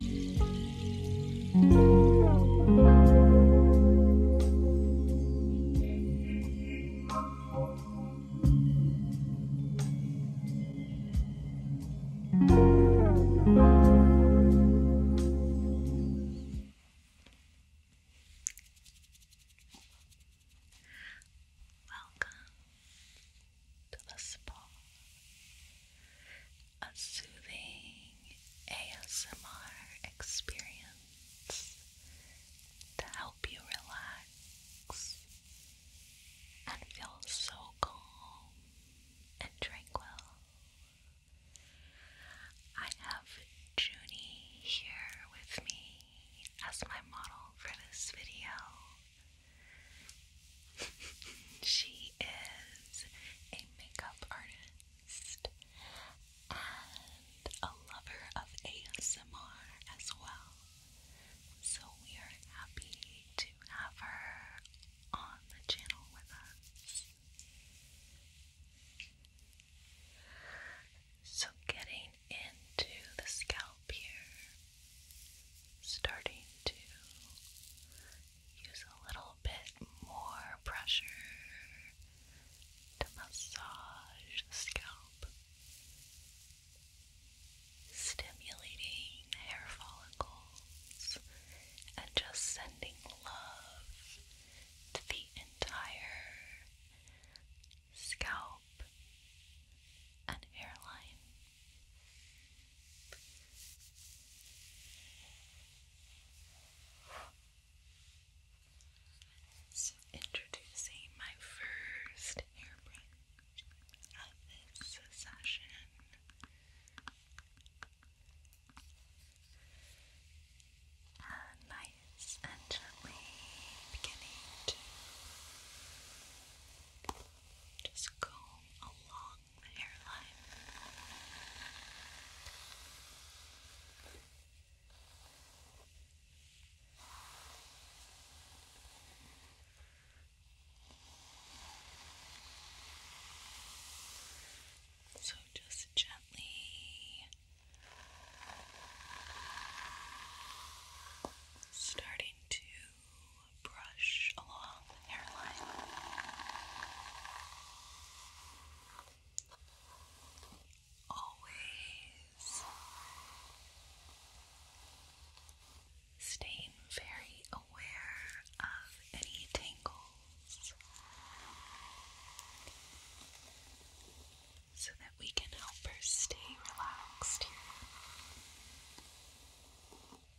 Welcome to the spa a soothing ASMR experience to help you relax and feel so calm and tranquil. I have Junie here with me as my model for this video she is a makeup artist and a lover of ASMR as well. So we are happy to have her on the channel with us. So getting into the scalp here, starting to use a little bit more pressure to massage the scalp, stimulating hair follicles and just sending love to the entire scalp and hairline. So introducing my first hairbrush of this session. nice and gently beginning to just comb along hairline. So just gently starting to brush along the hairline. Always staying very aware of any tangles so that we can help her stay relaxed here.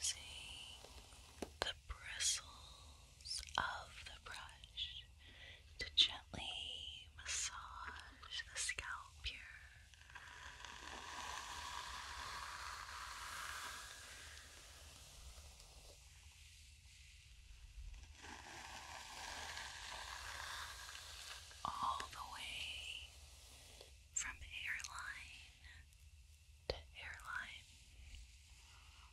Using the bristles of the brush to gently massage the scalp here. All the way from hairline to hairline. Now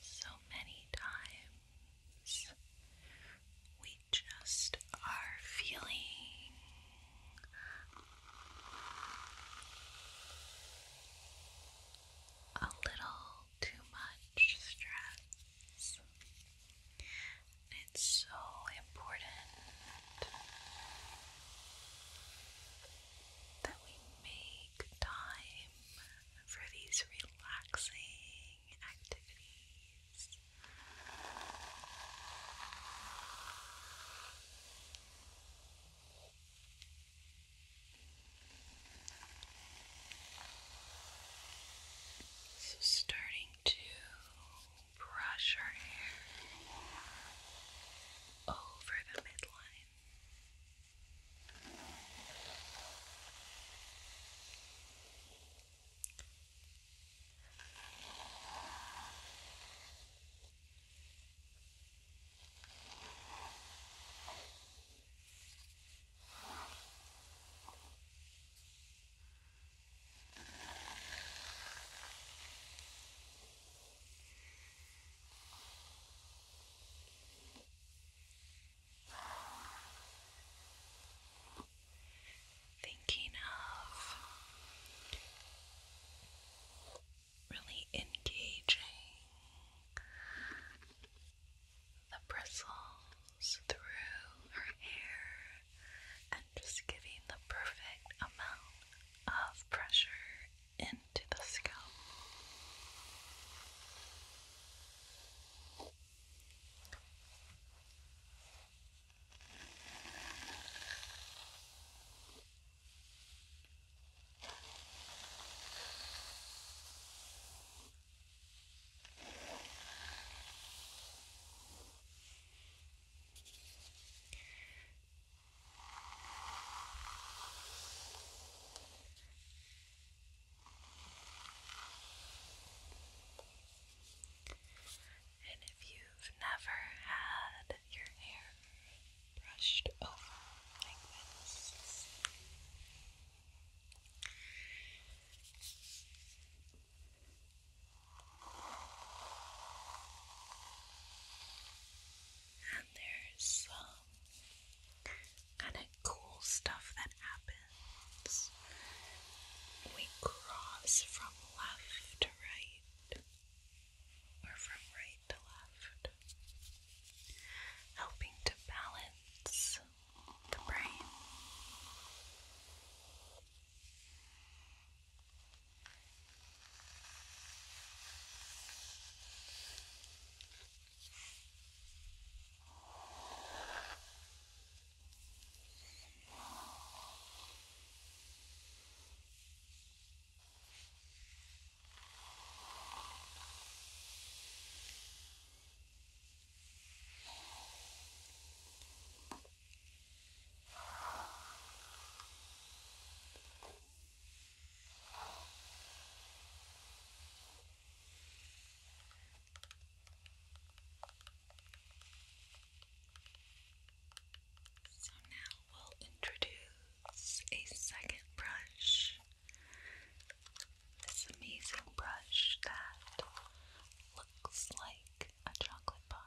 So many times we just are feeling a little too much stress. It's so important that we make time for these relaxing activities. So, starting to brush our hair over the midline. Thinking of really engaging the bristles through her hair and just giving the perfect amount of pressure into the scalp. And if you've never had your hair brushed over like this. And there's some kind of cool stuff that happens we cross from left to right or from right right to left, helping to balance the brain. So now we'll introduce a second brush this amazing brush that looks like a chocolate bar.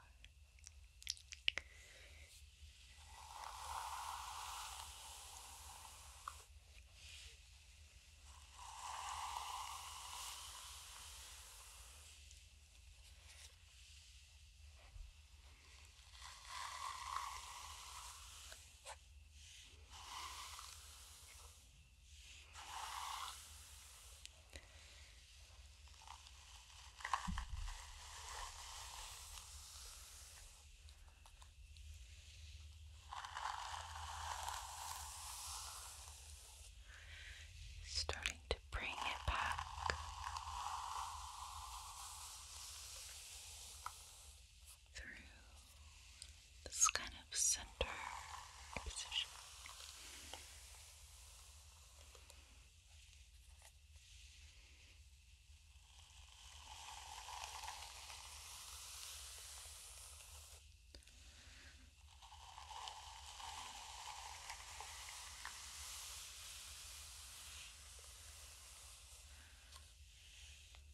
Starting to bring it back through this kind of center position.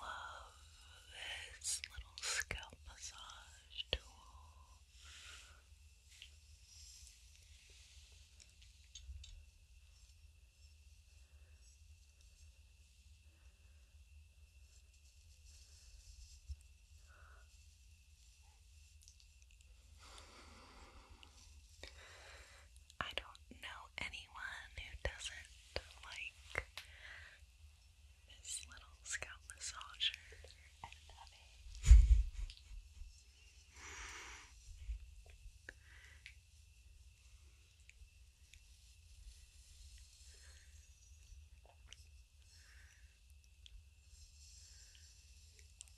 Love this little scalp massage tool. I don't know anyone who doesn't like this little scalp massager and nubby.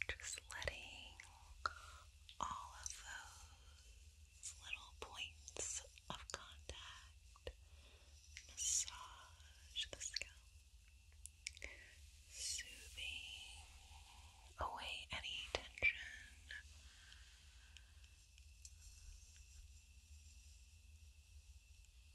Just letting all of those little points of contact massage the scalp, soothing away any tension.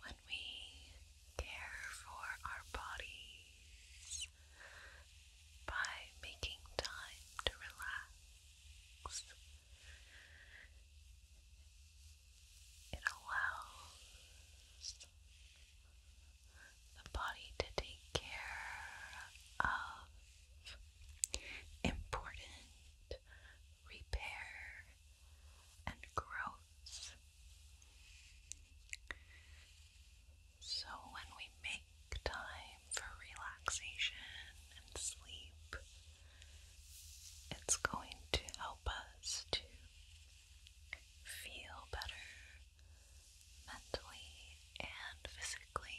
When we care for our bodies by making time to relax, it allows the body to take care of important repair and growth. So, when we make time for relaxation and sleep, it's going to help us to feel better mentally and physically.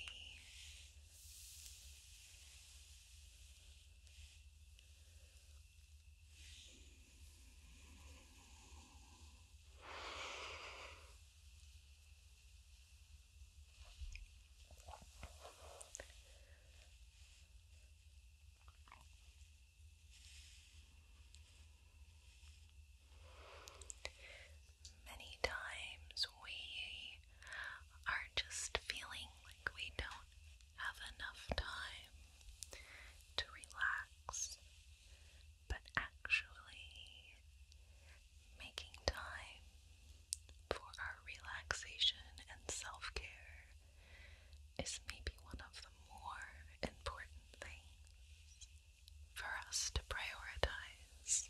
Many times we are just feeling like we don't have enough time to relax, but actually making time for our relaxation and self care is maybe one of the more important things for us to prioritize.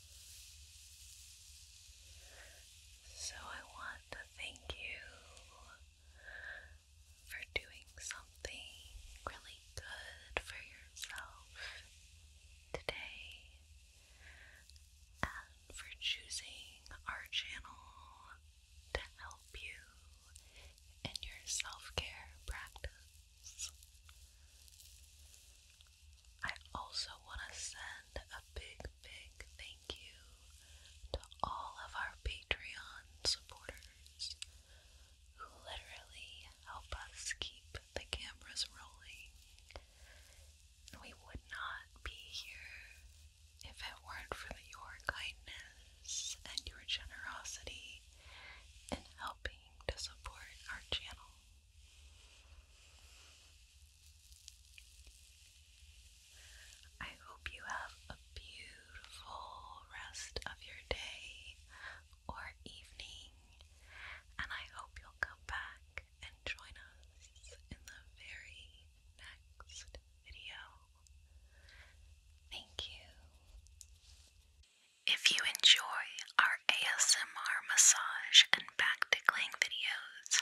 So I want to thank you for doing something really good for yourself today and for choosing our channel to help you in your self care practice. I also want to send a big, big thank you to all of our Patreon supporters who literally help us keep the cameras rolling. We would not be here if it weren't for your kindness and your generosity in helping to support our channel. I hope you have a beautiful rest of your day or evening, and I hope you'll come back and join us in the very next video. Thank you. If you enjoy our ASMR massage and back tickling videos,